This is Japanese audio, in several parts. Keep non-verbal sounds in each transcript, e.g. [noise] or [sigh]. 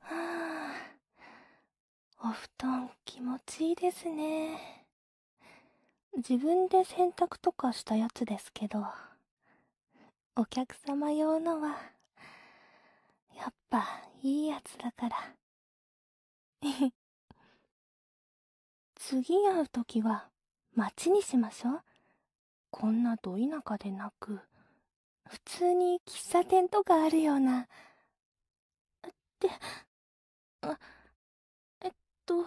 はぁ…お布団気持ちいいですね。自分で洗濯とかしたやつですけど、お客様用のは、やっぱいいやつだから。[laughs] 次会う時は、待ちにしましょう。こんなど田舎でなく、普通に喫茶店とかあるような。って、あ、えっと、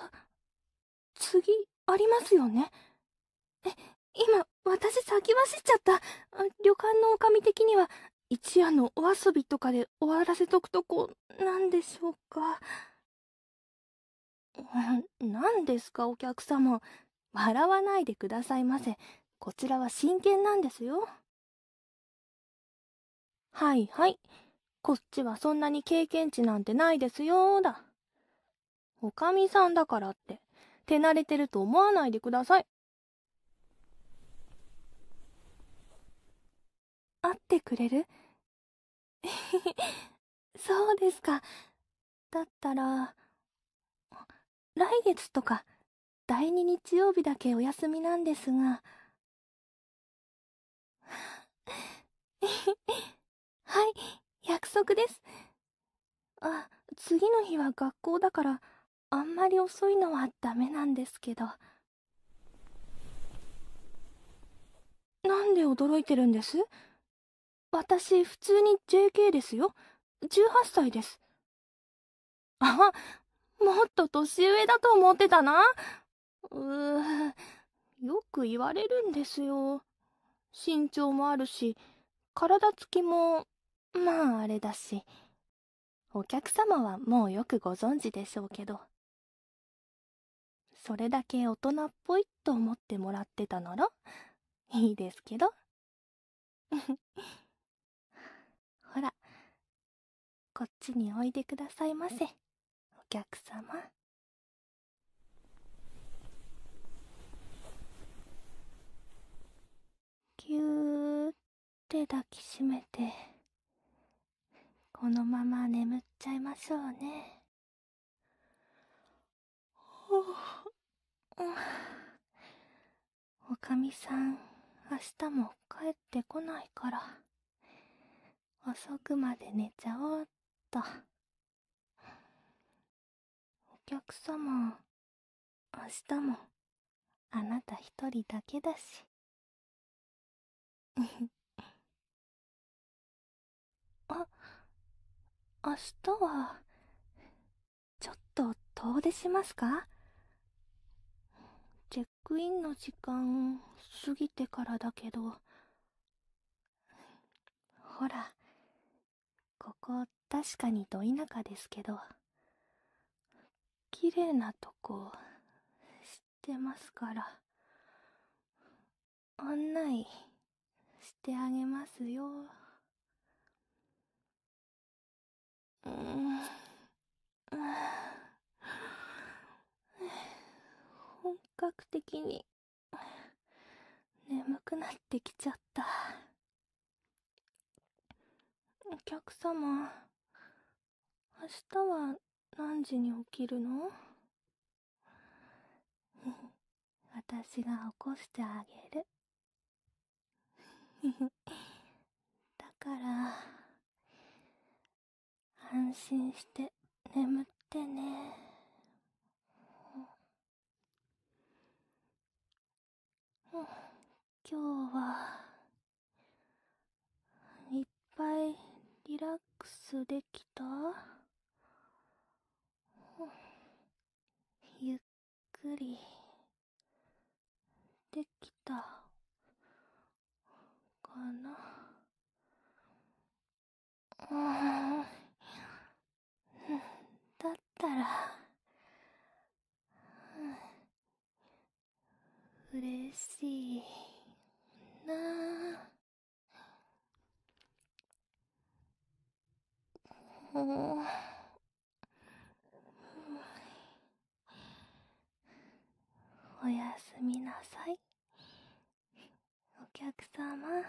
次、ありますよね。え、今、私先走っちゃった。旅館の女将的には、一夜のお遊びとかで終わらせとくとこ、なんでしょうか。何 [laughs] ですか、お客様。笑わないでくださいませ。こちらは真剣なんですよ。はいはい。こっちはそんなに経験値なんてないですよだ。おかみさんだからって、手慣れてると思わないでください。会ってくれる [laughs] そうですか。だったら来月とか第2日曜日だけお休みなんですが [laughs] はい約束ですあ次の日は学校だからあんまり遅いのはダメなんですけどなんで驚いてるんです私普通に JK ですよ18歳です [laughs] あ、もっと年上だと思ってたな。うー、よく言われるんですよ。身長もあるし、体つきも、まああれだし。お客様はもうよくご存知でしょうけど。それだけ大人っぽいと思ってもらってたなら、いいですけど。[laughs] ほらこっちにおいでくださいませお客様ぎゅーって抱きしめてこのまま眠っちゃいましょうねはおかみさん、明日も帰ってこないから、遅くまで寝ちゃおうっと。お客様、明日も、あなた一人だけだし。[laughs] あ、明日は、ちょっと遠出しますかチェックインの時間過ぎてからだけどほらここ確かにど田舎ですけど綺麗なとこ知ってますから案内してあげますよん本格的に眠くなってきちゃったお客様明日は何時に起きるの [laughs] 私が起こしてあげる [laughs] だから安心して眠ってね今日はいっぱいリラックスできたくりできたかなうだったらうれしいなあ。うおやすみなさいお客様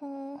お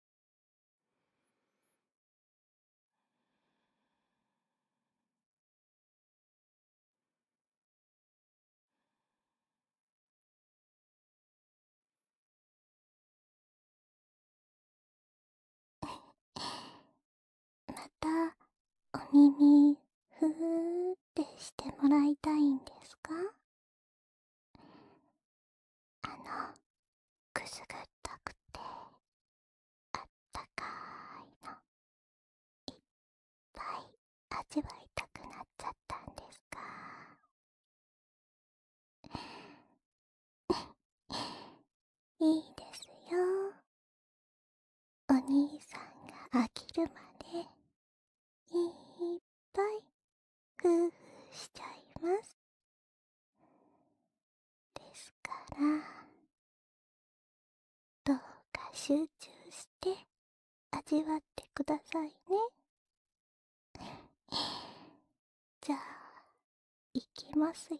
またお耳ふーってしてもらいたいんですかあのくすぐったくてあったかいのいっぱい味わいたくなっちゃったんですか [laughs] いいですよお兄さんが飽きるまでいっぱい工夫しちゃいますですからどうか集中して味わってくださいね [laughs] じゃあいきますよ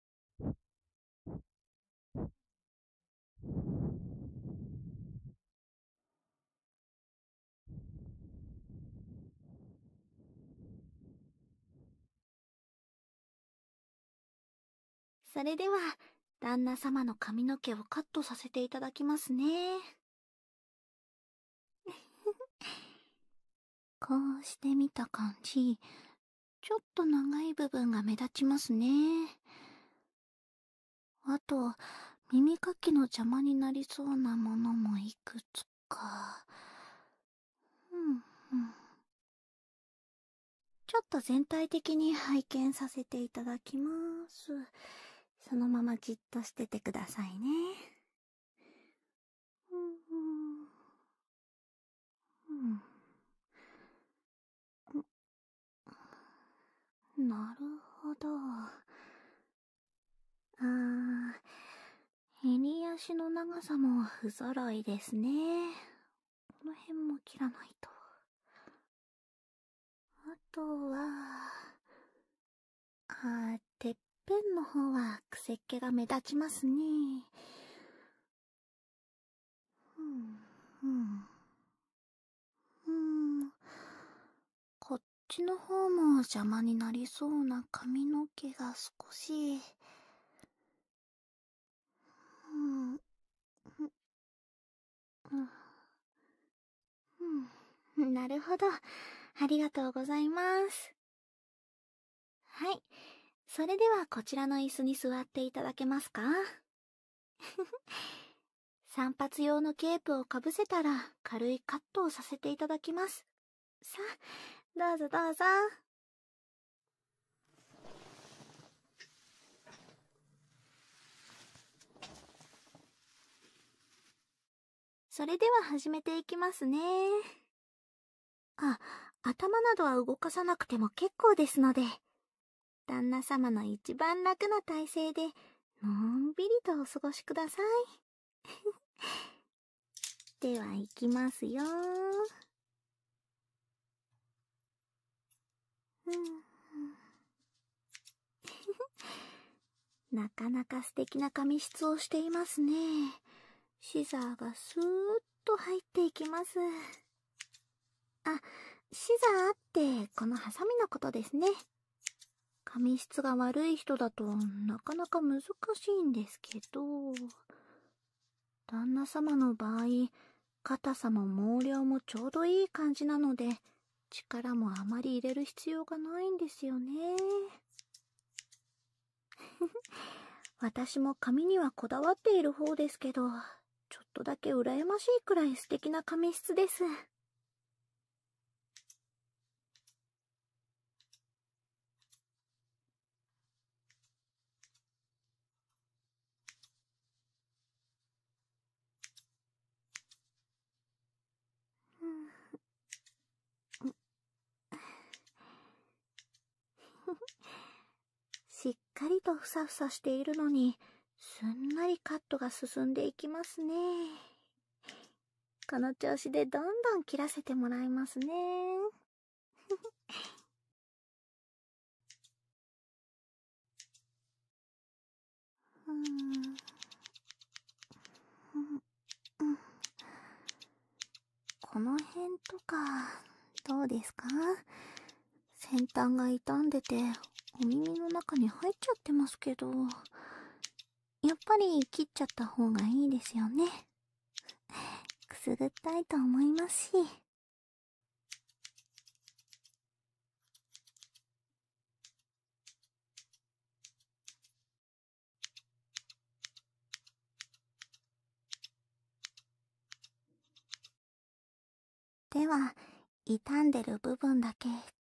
それでは、旦那様の髪の毛をカットさせていただきますね。[laughs] こうしてみた感じ、ちょっと長い部分が目立ちますね。あと、耳かきの邪魔になりそうなものもいくつか。うんうん、ちょっと全体的に拝見させていただきます。そのままじっとしててくださいね。うんうんうん。なるほど。あー、襟足の長さも不揃いですね。この辺も切らないと。あとは、あてっぺんの方はくせっ気が目立ちますね。うん、うん。うん。こっちの方も邪魔になりそうな髪の毛が少し。うん。なるほど。ありがとうございます。はい。それではこちらの椅子に座っていただけますか散髪用のケープをかぶせたら軽いカットをさせていただきます。さあ、どうぞどうぞ。それでは始めていきますね。あ、頭などは動かさなくても結構ですので、旦那様の一番楽な体勢で、のんびりとお過ごしください。[laughs] ではいきますようん。[laughs] なかなか素敵な髪質をしていますね。シザーがスーッと入っていきます。あ、シザーってこのハサミのことですね。髪質が悪い人だとなかなか難しいんですけど、旦那様の場合、硬さも毛量もちょうどいい感じなので、力もあまり入れる必要がないんですよね。[laughs] 私も髪にはこだわっている方ですけど、ちょっとだけ羨ましいくらい素敵な髪質です。しっかりとふさふさしているのに、すんなりカットが進んでいきますね。この調子でどんどん切らせてもらいますね。うん。この辺とか、どうですか先端が傷んでてお耳の中に入っちゃってますけどやっぱり切っちゃった方がいいですよねくすぐったいと思いますしでは、傷んでる部分だけ、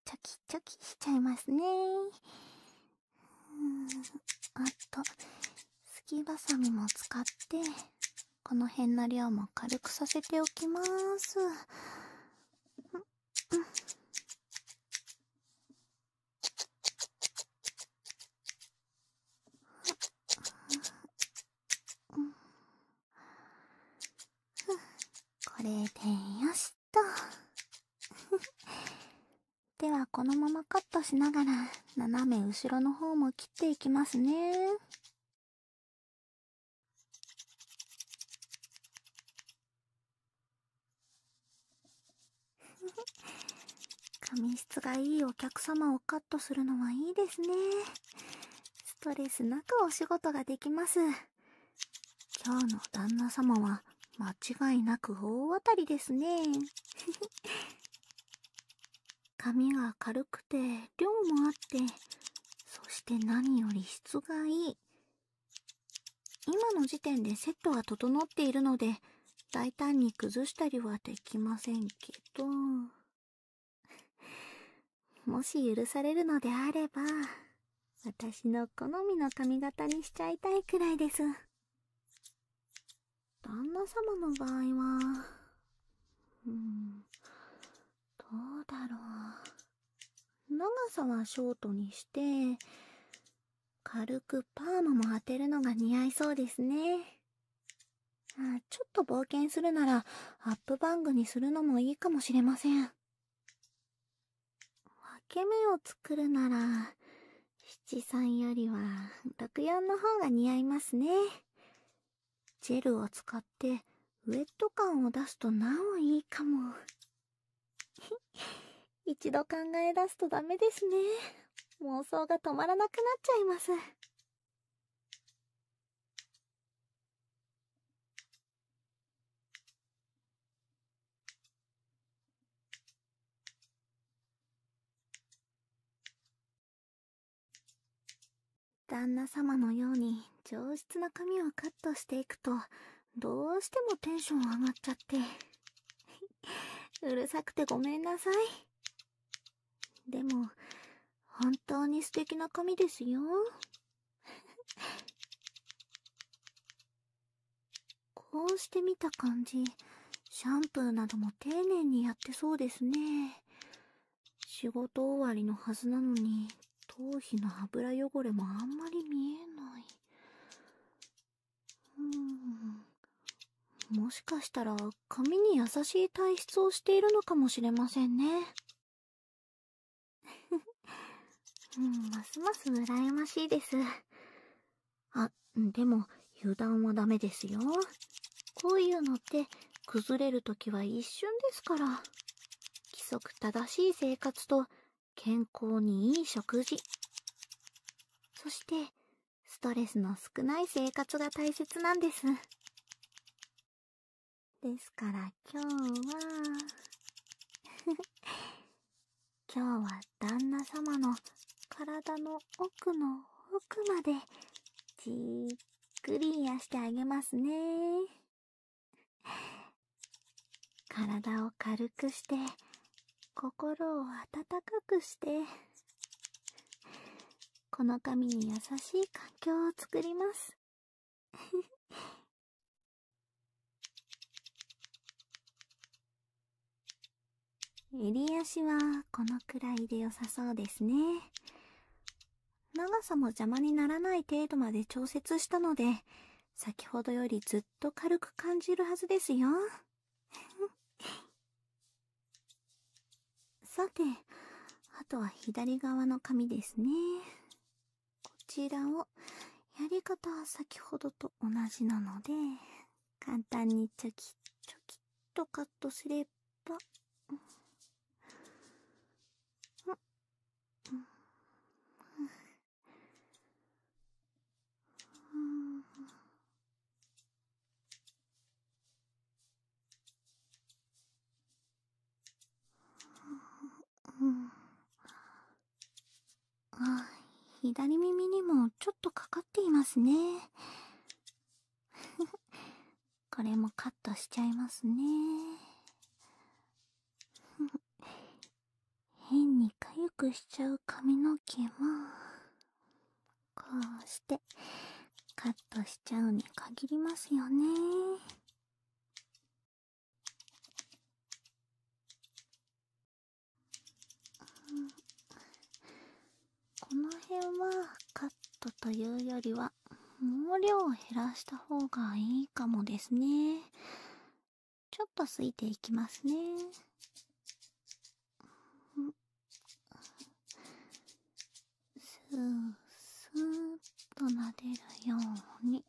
チョキチョキしちゃいますね。うんあと、すきばさみも使って、この辺の量も軽くさせておきます。うんうっ…これでよしと [laughs] ではこのままカットしながら斜め後ろの方も切っていきますね [laughs] 髪質がいいお客様をカットするのはいいですねストレスなくお仕事ができます今日の旦那様は間違いなく大当たりですね [laughs] 髪が軽くて量もあってそして何より質がいい今の時点でセットは整っているので大胆に崩したりはできませんけど [laughs] もし許されるのであれば、私の好みの髪型にしちゃいたいくらいです。旦那様の場合は、うん、どうだろう。長さはショートにして、軽くパーマも当てるのが似合いそうですね。ちょっと冒険するならアップバングにするのもいいかもしれません。分け目を作るなら七三よりは六四の方が似合いますね。ジェルを使ってウェット感を出すとなおいいかも。[laughs] 一度考え出すとダメですね。妄想が止まらなくなっちゃいます。旦那様のように上質な髪をカットしていくとどうしてもテンション上がっちゃって [laughs] うるさくてごめんなさいでも、本当に素敵な髪ですよ。[laughs] こうして見た感じ、シャンプーなども丁寧にやってそうですね。仕事終わりのはずなのに、頭皮の油汚れもあんまり見えない。うん。もしかしたら、髪に優しい体質をしているのかもしれませんね。うん、ますます羨ましいです。あ、でも、油断はダメですよ。こういうのって、崩れるときは一瞬ですから。規則正しい生活と、健康にいい食事。そして、ストレスの少ない生活が大切なんです。ですから今日は [laughs] 今日は旦那様の体の奥の奥までじっくり癒してあげますね。体を軽くして、心を温かくして、この髪に優しい環境を作ります。[laughs] 襟足はこのくらいでよさそうですね長さも邪魔にならない程度まで調節したので先ほどよりずっと軽く感じるはずですよさて、あとは左側の紙ですね。こちらを、やり方は先ほどと同じなので、簡単にチョキチョキとカットすれば、ん、うんあ左耳にもちょっとかかっていますね [laughs] これもカットしちゃいますね [laughs] 変にかゆくしちゃう髪の毛もこうしてカットしちゃうに限りますよねこの辺はカットというよりは毛量を減らした方がいいかもですねちょっとすいていきますねスースーっと撫でるように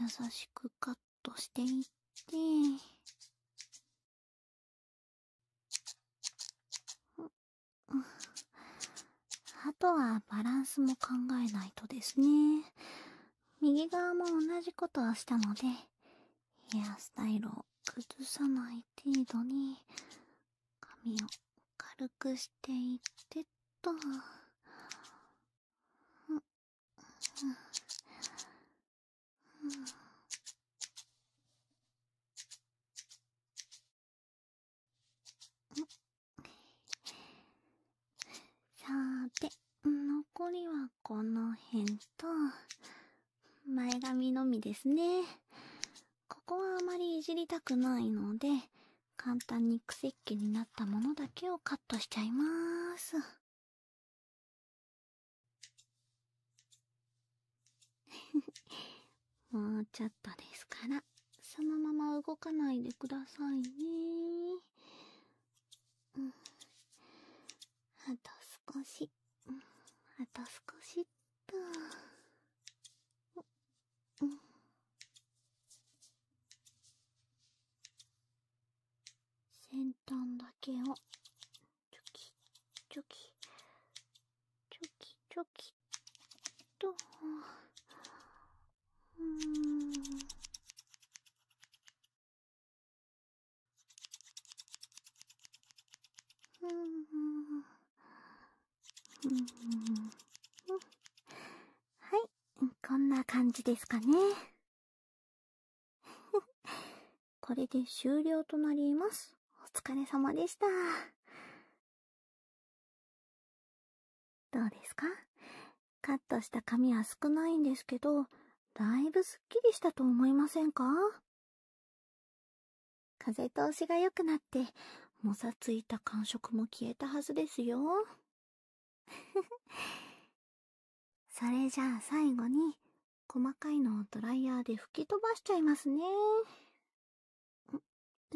優しくカットしていってあとはバランスも考えないとですね右側も同じことをしたのでヘアスタイルを崩さない程度に髪を軽くしていってっと。さーて残りはこの辺と前髪のみですねここはあまりいじりたくないので、簡単にクセっ気になったものだけをカットしちゃいまーす。[laughs] もうちょっとですから、そのまま動かないでくださいねうあと少し、あと少しっと。うん先端だけをチョキチョキチョキチョキとんうんはい、こんな感じですかね。[laughs] これで終了となります。お疲れ様でした。どうですかカットした髪は少ないんですけど、だいぶスッキリしたと思いませんか風通しがよくなって、もさついた感触も消えたはずですよ。[laughs] それじゃあ最後に、細かいのをドライヤーで吹き飛ばしちゃいますね。ん、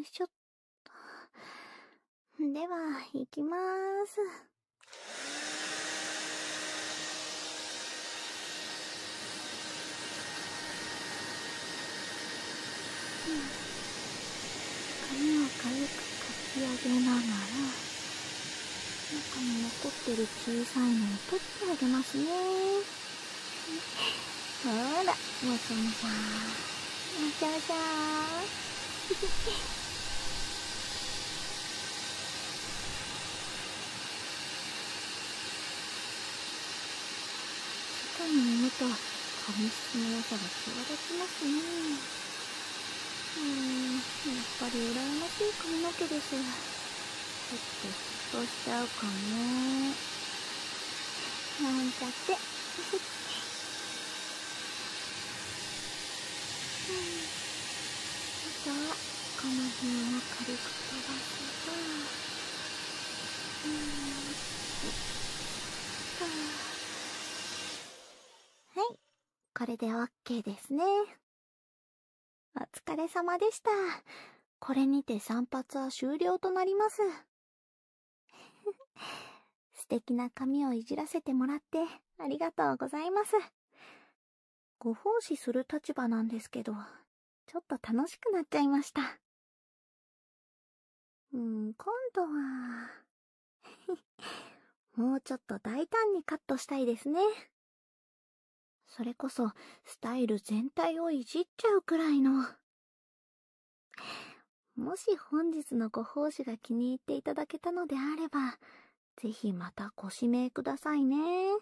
しょっと。[laughs] では、いきまーす。髪を軽くかき上げながら中に残ってる小さいのを取ってあげますねほらもちもちゃんもちもちゃんあ外にもむと髪質の良さが際立ちますねうんやっぱり羨ましい髪の毛ですちょっと嫉妬しちゃうかねなんちゃってうんあとはこの辺を軽く飛ばすとはい、これで OK ですね。お疲れ様でした。これにて散髪は終了となります。[laughs] 素敵な髪をいじらせてもらってありがとうございます。ご奉仕する立場なんですけど、ちょっと楽しくなっちゃいました。うん、今度は [laughs] もうちょっと大胆にカットしたいですね。それこそ、スタイル全体をいじっちゃうくらいの。もし本日のご奉仕が気に入っていただけたのであれば、ぜひまたご指名くださいね。